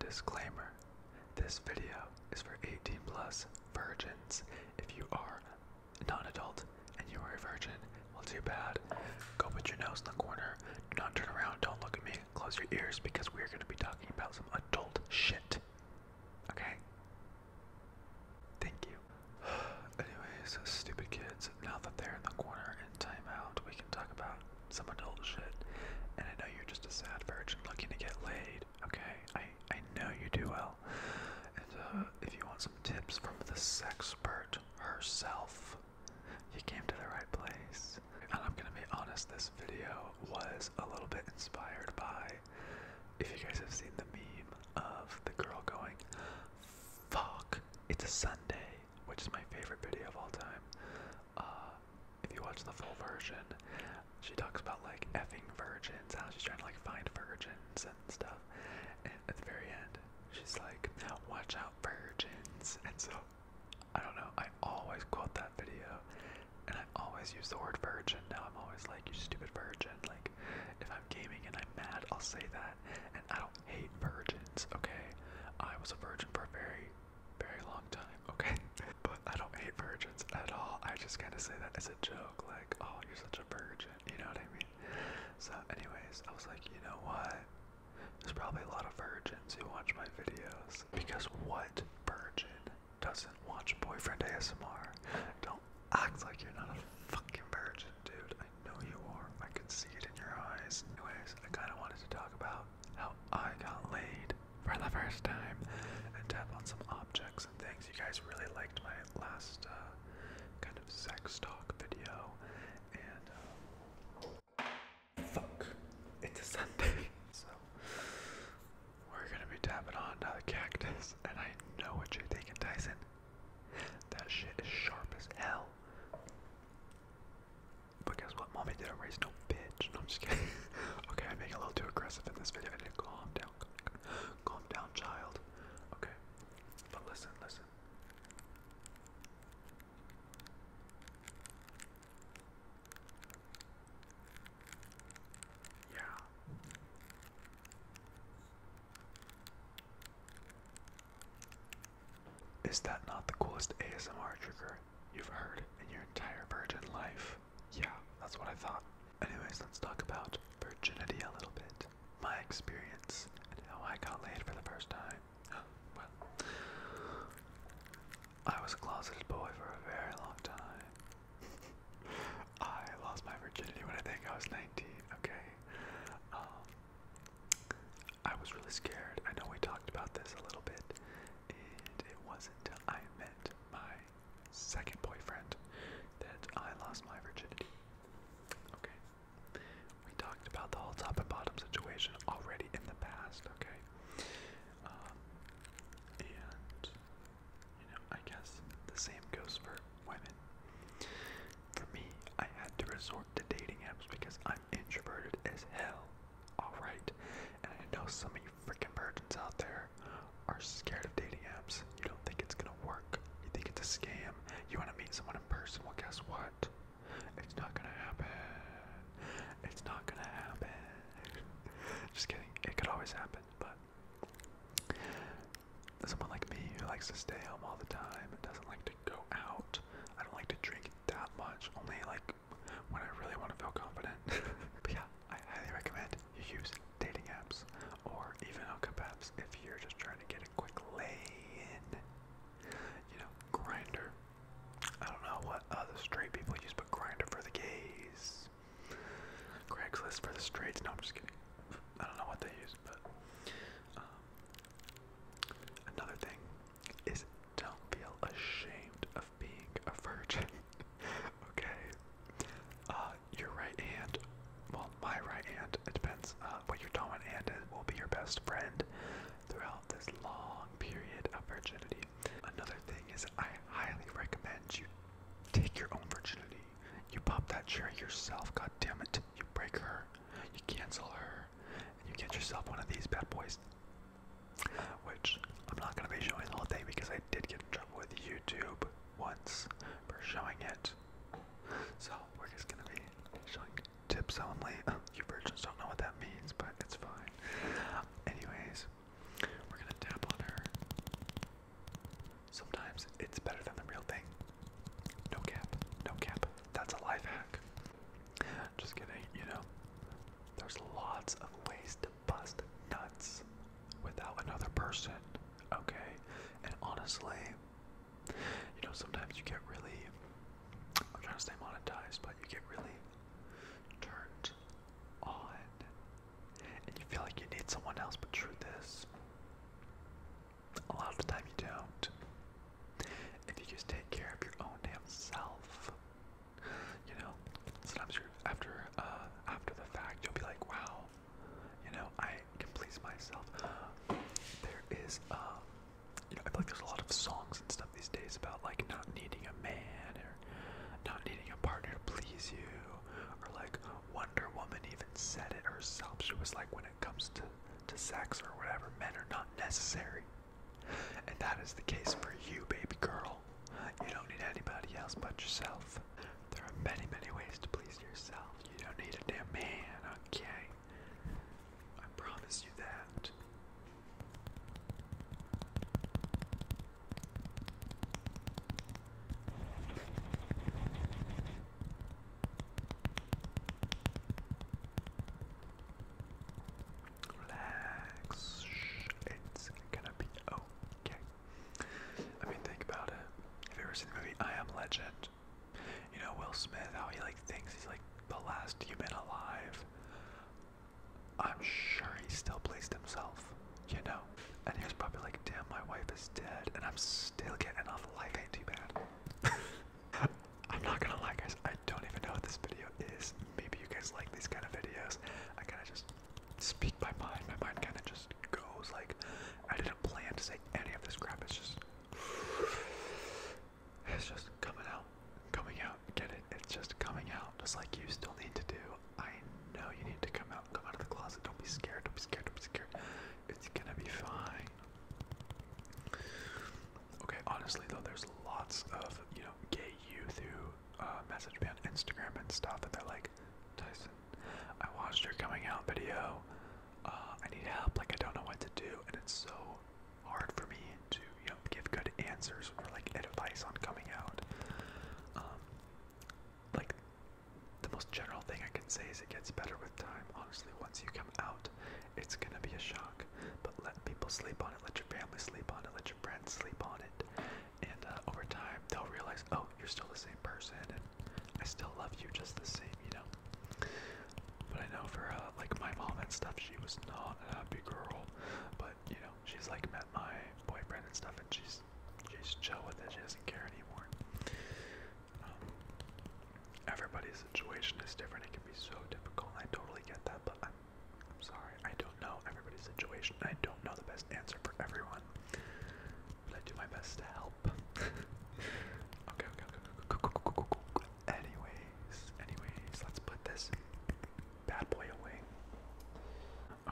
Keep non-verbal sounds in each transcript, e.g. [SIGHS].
Disclaimer This video is for 18 plus virgins. If you are non adult and you are a virgin, well, too bad. Go put your nose in the corner. Do not turn around. Don't look at me. Close your ears because we're going to be talking about some adult shit. Okay? Thank you. [SIGHS] Anyways, stupid kids, now that they're in the corner in timeout, we can talk about some adult shit. And I know you're just a sad virgin looking to get laid, okay? I, I know you do well. And uh, if you want some tips from the sexpert herself, you came to the right place. And I'm gonna be honest, this video was a little bit inspired by, if you guys have seen the meme of the girl going, fuck, it's a Sunday, which is my favorite video of all time. Uh, if you watch the full version, she talks about like effing virgins, how she's trying to like find virgins and stuff. And at the very end, she's like, "Watch out, virgins." And so, I don't know. I always quote that video, and I always use the word virgin. Now I'm always like, "You stupid virgin!" Like, if I'm gaming and I'm mad, I'll say that. And I don't hate virgins. Okay, I was a virgin for very very long time, okay? [LAUGHS] But I don't hate virgins at all. I just kind of say that as a joke, like, oh, you're such a virgin, you know what I mean? So, anyways, I was like, you know what? There's probably a lot of virgins who watch my videos. Because what virgin doesn't watch Boyfriend ASMR? Don't act like you're not a fucking virgin, dude. I know you are. I can see it in your eyes. Anyways, I kind of wanted to talk about how I got laid for the first time and tap on some objects and things. You guys really liked my last uh, kind of sex talk video, and um, fuck, it's a Sunday, [LAUGHS] so we're gonna be tapping on to cactus. And I know what you're thinking, Tyson. That shit is sharp as hell. But guess what? Mommy didn't raise no bitch. I'm just kidding. [LAUGHS] okay, I'm being a little too aggressive in this video. I need to calm down. Calm down, child. Okay. But listen, listen. Yeah. Is that not the coolest ASMR trigger you've heard in your entire virgin life. Yeah, that's what I thought. Anyways, let's talk about virginity a little bit. My experience and how I got laid for the first time. [GASPS] well, I was a closeted boy for a very long time. [LAUGHS] I lost my virginity when I think I was 19, okay? Um, I was really scared. I know we talked about this a little bit and it wasn't until I met my second boyfriend that I lost my virginity. Okay. We talked about the whole top and bottom situation already in the past, okay? Um, and, you know, I guess the same goes for women. For me, I had to resort to dating apps because I'm introverted as hell, alright? And I know some of freaking virgins out there are scared of dating apps. You don't think it's gonna work. You think it's a scam. You wanna meet someone in person. Well, guess what? It's not gonna happen. It's not gonna happen. Just kidding. It could always happen, but someone like me who likes to stay home all the time, doesn't like to go out. I don't like to drink that much. Only like when I really want to feel confident. [LAUGHS] yeah, I highly recommend you use dating apps or even hookup apps if you're just trying to get a quick lay in. You know, grinder. I don't know what other straight people use, but grinder for the gays. Craigslist for the straights. No, I'm just kidding. I don't know what they use, but um, another thing is don't feel ashamed of being a virgin. [LAUGHS] okay. Uh, your right hand, well, my right hand, it depends uh, what your dominant hand is, will be your best friend throughout this long period of virginity. Another thing is, I highly recommend you take your own virginity. You pop that cherry yourself, God damn it! You break her, you cancel her, you get yourself one of these bad boys which I'm not going to be showing the whole thing because I did get in trouble with YouTube once for showing it. So we're just going to be showing tips only. [LAUGHS] you virgins don't know what that means, but it's fine. Anyways, we're going to tap on her. Sometimes it's better than the real thing. No cap, no cap. That's a life hack. Just kidding, you know. There's lots of ways to bust nuts without another person, okay? And honestly, you know, sometimes you get really, I'm trying to stay monetized, but you get really turned on and you feel like you need someone else, but truth is, a lot of the time you don't. If you just take care of your own damn self, you know, sometimes you after uh, after the fact, you'll be like, wow, you know, I can please myself. There is, uh, you know, I feel like there's a lot of songs and stuff these days about like not needing a man or not needing a partner to please you, or like Wonder Woman even said it herself. She was like, when it comes to to sex or whatever, men are not necessary. And that is the case for you, baby girl. You don't need anybody else but yourself. There are many, many ways to please yourself. You don't need a damn man, okay? I promise you that. Relax. It's gonna be okay. Okay. I mean, think about it. Have you ever seen the movie I Am Legend? You know Will Smith, how he like thinks he's like the last human alive. I'm sure he still pleased himself, you know. And he was probably like, "Damn, my wife is dead, and I'm still getting off. Life ain't too bad." [LAUGHS] I'm not gonna lie, guys. I don't even know what this video is. Maybe you guys like these kind of videos. I kind of just speak my mind. My mind kind of just goes like I didn't plan to say any of this crap. It's just it's just coming out, coming out. Get it? It's just coming out, just like you still need to do. I know you need to come out, come out of the closet. Don't be scared. Don't be scared. Don't be scared. It's gonna be fine. Okay, honestly though, there's lots of you know gay youth who uh, message me on Instagram and stuff, and they're like, Tyson, I watched your coming out video. Uh, I need help. Like, I don't know what to do, and it's so hard for me to, you know, give good answers or like advice on coming out. Um, like, the most general thing I can say is it gets better with time. Honestly, once you come out, it's gonna be a shock. But let people sleep on it. Let your family sleep on it. Let your friends sleep on it and uh, over time they'll realize, oh, you're still the same person, and I still love you just the same, you know. But I know for uh, like my mom and stuff, she was not a happy girl, but you know, she's like met my boyfriend and stuff, and she's she's chill with it. She doesn't care anymore. Um, everybody's situation is different. It can be so difficult. I totally get that, but I'm I'm sorry, I don't know everybody's situation. I don't know the best answer for everyone, but I do my best to help. [LAUGHS] okay, okay, okay, okay, okay. Anyways, anyways, let's put this bad boy away.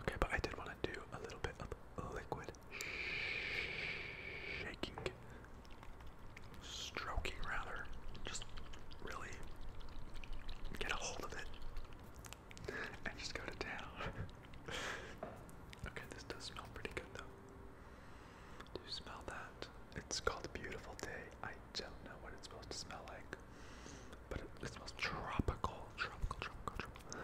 Okay, but I did want to do a little bit of liquid shaking, stroking rather, just really get a hold of it and just go to town. okay, this does smell pretty good though. Do you smell that? It's called Beautiful Day. I don't know what it's supposed to smell like, but it, it smells tropical, tropical, tropical, tropical.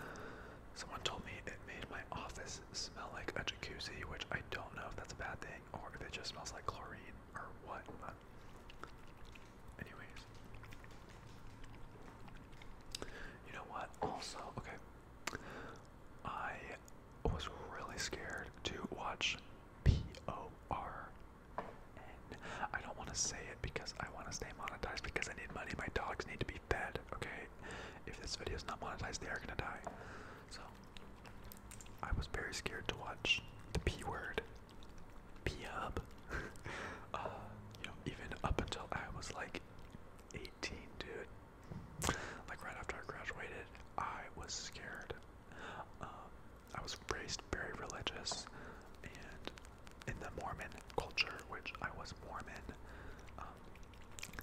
Someone told me it made my office smell like a jacuzzi, which I don't know if that's a bad thing or if it just smells like chlorine or what, Anyways. You know what? Also, okay. I was really scared to watch P O R N. I don't want to say it because I want to stay monetized because I need money. My dogs need to be fed, okay? If this video is not monetized, they are going to die. So, I was very scared to watch the P word P-Hub. [LAUGHS] Uh, you know, even up until I was like 18, dude, like right after I graduated, I was scared. Um, I was raised very religious, and in the Mormon culture, which I was Mormon, um,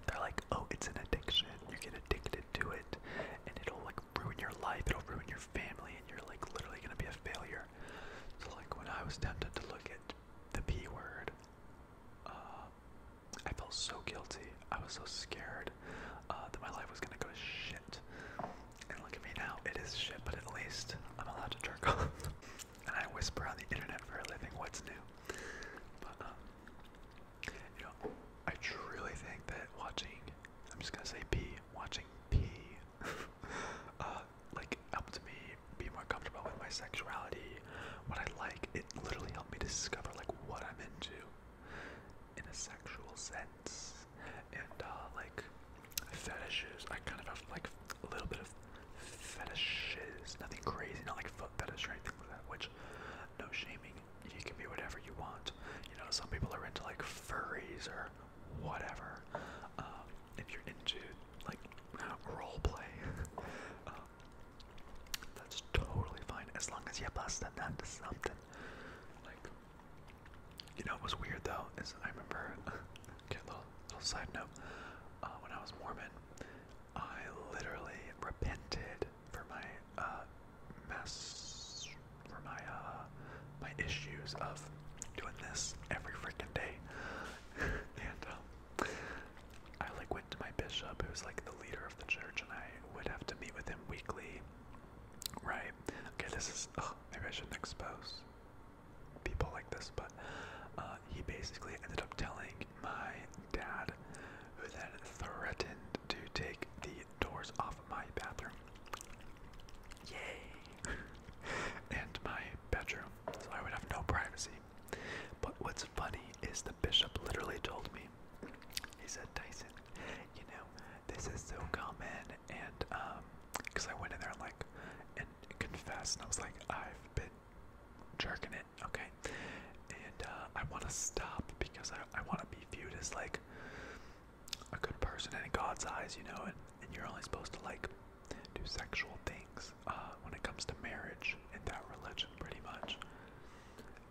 they're like, oh, it's an addiction. You get addicted to it, and it'll like ruin your life. It'll ruin your family, and you're like literally gonna be a failure. So like when I was tempted to look at the P word, uh, I felt so guilty. I was so scared uh, that my life was gonna go shit. And look at me now, it is shit, but at least I'm allowed to jerk [LAUGHS] off. and I whisper on the internet for a living what's new. But um, you know, I truly think that watching, I'm just gonna say P, watching P [LAUGHS] uh, like helped me be more comfortable with my sexuality, what I like. It literally helped me discover like what I'm into in a sexual sense, and uh, like fetishes. I kind of have like a little bit of fetishes, nothing crazy, not like foot fetish or anything like that. Which, no shaming. You can be whatever you want. You know, some people are into like furries or whatever. Um, if you're into like role play, [LAUGHS] um, that's totally fine as long as you bust that to something. Like, you know, it was weird though. Is I remember, [LAUGHS] okay, little little side note. Uh, when I was Mormon, I literally repented for my uh, mess for my uh my issues of doing this every freaking day. [LAUGHS] and um, I like went to my bishop, was like the leader of the church, and I would have to meet with him weekly. Right? Okay, this is. Oh, maybe I shouldn't expose people like this, but uh, he basically ended up telling my dad, who then threatened to take the doors off my bathroom. Yay! [LAUGHS] and my bedroom, so I would have no privacy. But what's funny is the bishop literally told me, he said, Tyson, you know, this is so common, and, um, because I went in there and, like, and confessed, and I was like, I've been jerking it, okay? And, uh, I want to stop because I, I want to be viewed as, like, a good person in God's eyes, you know, and, and you're only supposed to, like, do sexual things uh, when it comes to marriage and that religion, pretty much.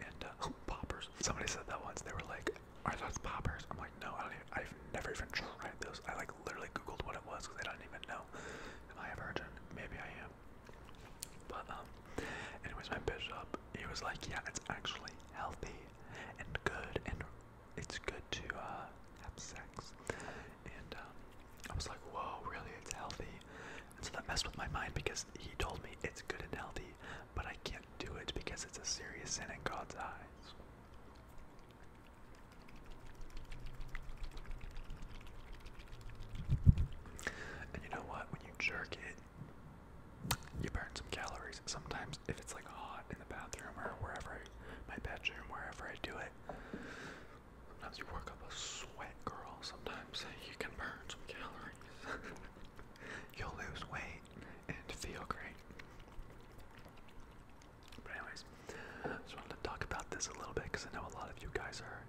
And uh, oh, poppers. Somebody said that once. They were like, "Are those poppers?" I'm like, "No, I don't. Even, I've never even tried those. I like literally Googled what it was because I don't even know. Am I a virgin? Maybe I am." But um, anyways, my bishop, he was like, "Yeah, it's actually healthy and good and it's good to uh, have sex. And um, I was like, whoa, really? It's healthy. And so that messed with my mind because he told me it's good and healthy, but I can't do it because it's a serious sin in God's eyes. And you know what? When you jerk it, you burn some calories. Sometimes, if it's like hot in the bathroom or wherever my bedroom, wherever I do Sometimes you work up a sweat, girl. Sometimes you can burn some calories. [LAUGHS] You'll lose weight and feel great. But anyways, I just wanted to talk about this a little bit because I know a lot of you guys are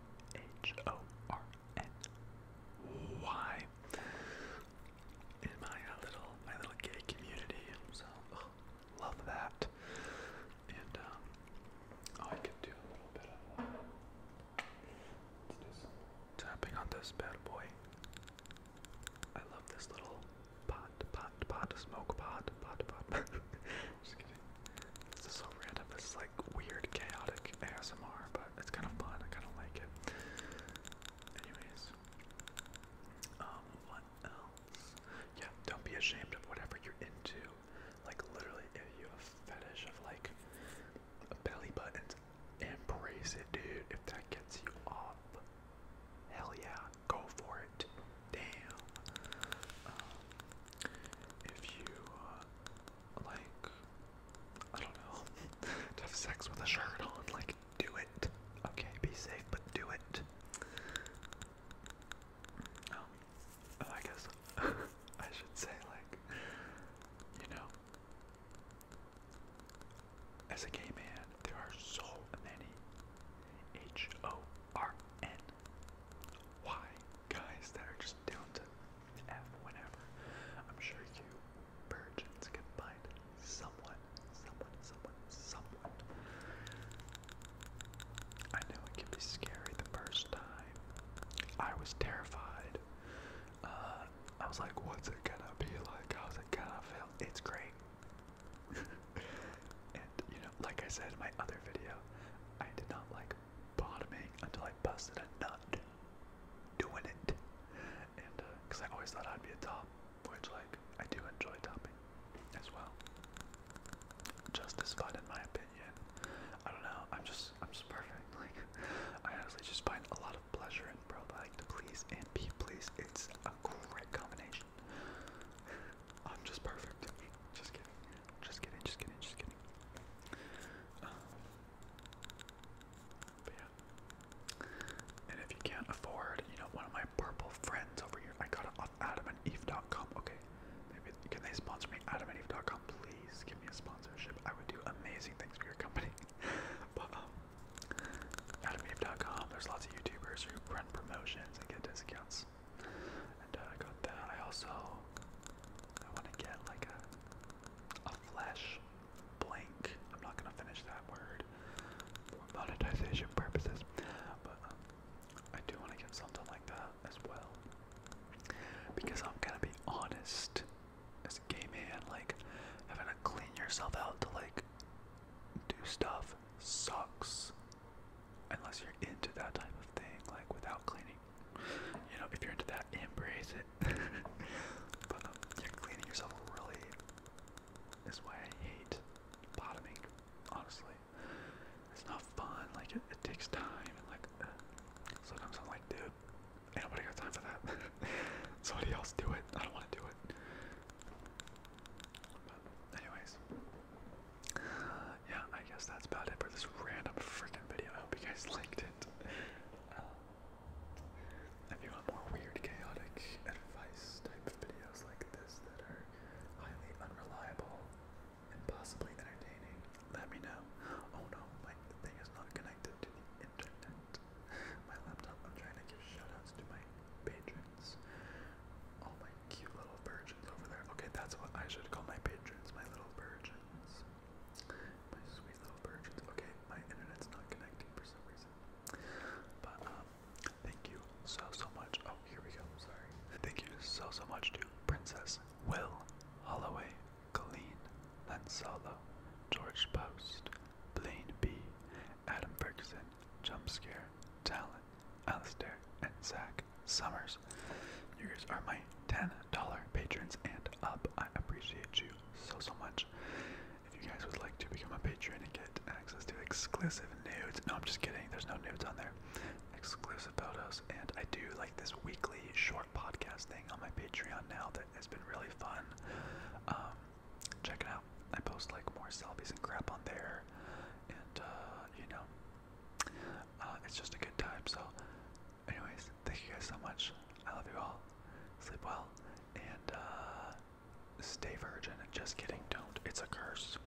H O R N Y in my little my little gay community. So love that. And um, oh, I could do a little bit of uh, let's do some tapping on this bad boy. I love this little pot, pot, pot, smoke pot, pot, pot. [LAUGHS] Just kidding. This is so random. This is like weird, chaotic ASMR, but it's kind of fun. I kind of like it. Anyways, um, what yeah, don't be ashamed of whatever you're into. Like literally, if you have a fetish of like a belly button, embrace it, dude. If that gets you off, hell yeah, go for it. Damn. Um, if you uh, like, I don't know, [LAUGHS] have sex with a shirt on, like do it. Okay, be safe, but do it. Um, I guess [LAUGHS] I should say, like, you know, as a gay man, there are so many H O R N Y guys that are just down to F whenever. I'm sure you virgins can find someone, someone, someone someone, I know it can be scary the first time. I was terrified. Uh, I was like, what's it gonna be like? How's it gonna feel? It's great. [LAUGHS] and, you know, like I said in my other video, I did not like bottoming until I busted a nut doing it. And, because uh, I always thought I'd be a top, which, like, I do enjoy topping as well. Just as fun, in my opinion. I don't know. I'm just, I'm just perfect. [LAUGHS] Like, I honestly just find a lot of pleasure in bro. Like, to please and be pleased. It's a great combination. I'm just perfect. Just kidding. Just kidding. Just kidding. Just kidding. Um, but yeah. And if you can't afford, you know, one of my purple friends over here, I got it off Adam AdamandEve.com. Okay, maybe can they sponsor me? AdamandEve.com, please give me a sponsorship. I would do amazing things for your company. [LAUGHS] but um, There's lots of YouTubers who run promotions and get discounts. And uh, I got that. I also I want to get like a a flash blank. I'm not gonna finish that word for monetization purposes. But um, I do want to get something like that as well. Because I'm gonna be honest, as a gay man, like having to clean yourself out to like do stuff sucks. Unless you're into that type of thing, like without cleaning. You know, if you're into that, embrace it. [LAUGHS] but um, yeah, cleaning yourself really is why I hate bottoming, honestly. It's not fun. Like it, it takes time, and like uh, sometimes I'm like, dude, ain't got time for that. [LAUGHS] Somebody else do it. I don't want to do it. anyways, yeah, I guess that's about it for this random freaking video. I hope you guys [LAUGHS] liked it. Uh, if you want more weird, chaotic advice type of videos like this that are highly unreliable and possibly entertaining, let me know. Oh no, my thing is not connected to the internet. My laptop, I'm trying to give shoutouts to my patrons. All my cute little virgins over there. Okay, that's what I should call my patrons, my little virgins. My sweet little virgins. Okay, my internet's not connecting for some reason. But um Thank you so so much. Oh, here we go. Sorry. Thank you so so much to Princess Will, Holloway, Colleen, Lansalo, George Post, Blaine B, Adam Ferguson, Jumpscare, Talon, Alastair, and Zach Summers. You guys are my $10 patrons and up. I appreciate you so so much. If you guys would like to become a patron and get access to exclusive nudes. No, I'm just kidding. There's no nudes on there. Exclusive photos. And I do like this weekly short podcast thing on my Patreon now that has been really fun. Um, check it out. I post like more selfies and crap on there. And, uh, you know, uh, it's just a good time. So, anyways, thank you guys so much. I love you all. Sleep well. And, uh, Stay virgin. Just kidding, don't. It's a curse.